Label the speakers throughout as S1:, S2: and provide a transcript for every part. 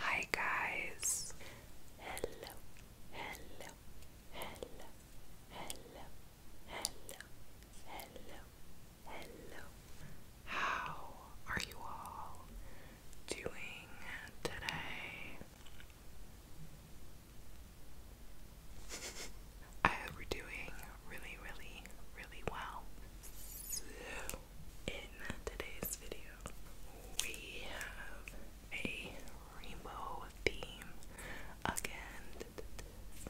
S1: Hi guys. Hello. Hello. Hello. Hello. Hello. Hello. How are you all doing today? I hope we're doing really, really, really well. So, in today's video, we have a rainbow theme again. I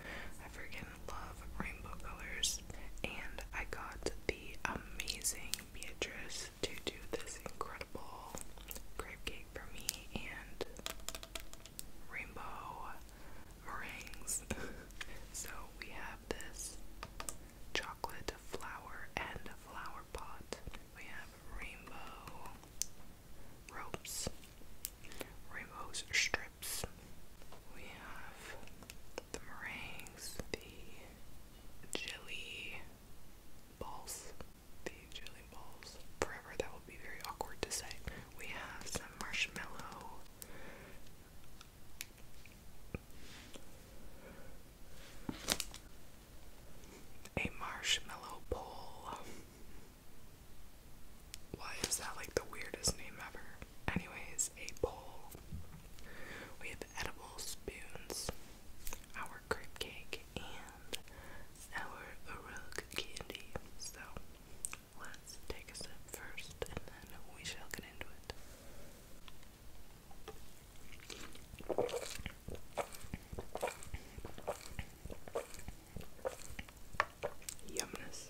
S1: freaking love rainbow colors, and I got the amazing Beatrice to do this incredible crepe for me and rainbow meringues. so we have this chocolate flower and flower pot. We have rainbow ropes, rainbow strips. We have the meringues, the jelly balls, the jelly balls. Forever, that will be very awkward to say. We have some marshmallow. A marshmallow bowl. Why is that like the weirdest name ever? Anyways, a bowl. We have edible spoons, our crepe cake, and our Uruk candy. So let's take a sip first and then we shall get into it. Yumness.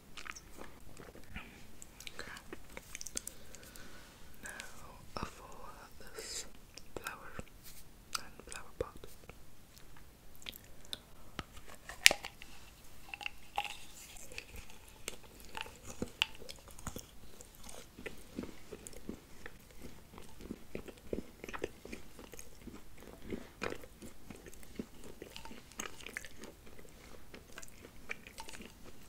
S1: Okay. Now for this flower and flower pot.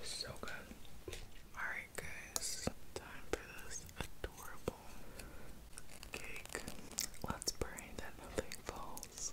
S1: It's so good. Alright, guys, time for this adorable cake. Let's pray that nothing falls.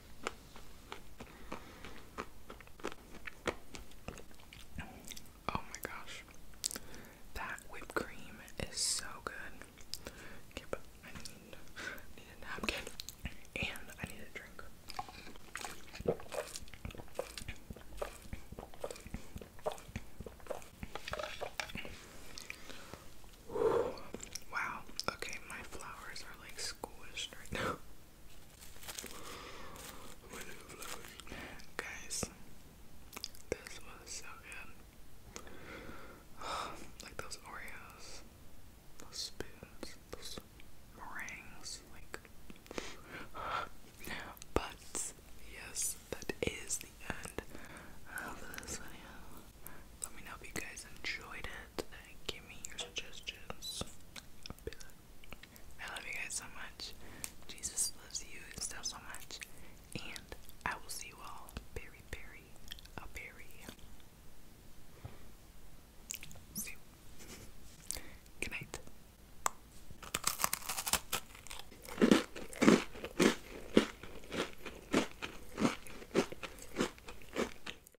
S1: Oh my gosh. That whipped cream is so good. I need a napkin and I need a drink. Wow, okay, my flowers are like squished right now. Guys, this was so good. like those Oreos, those spoons, those meringues, like. but yes, that is the end of this video. Let me know if you guys enjoyed it give me your suggestions. I love you guys so much. Jesus loves you and stuff so much. And I will see you all very, very, a very soon. Good night.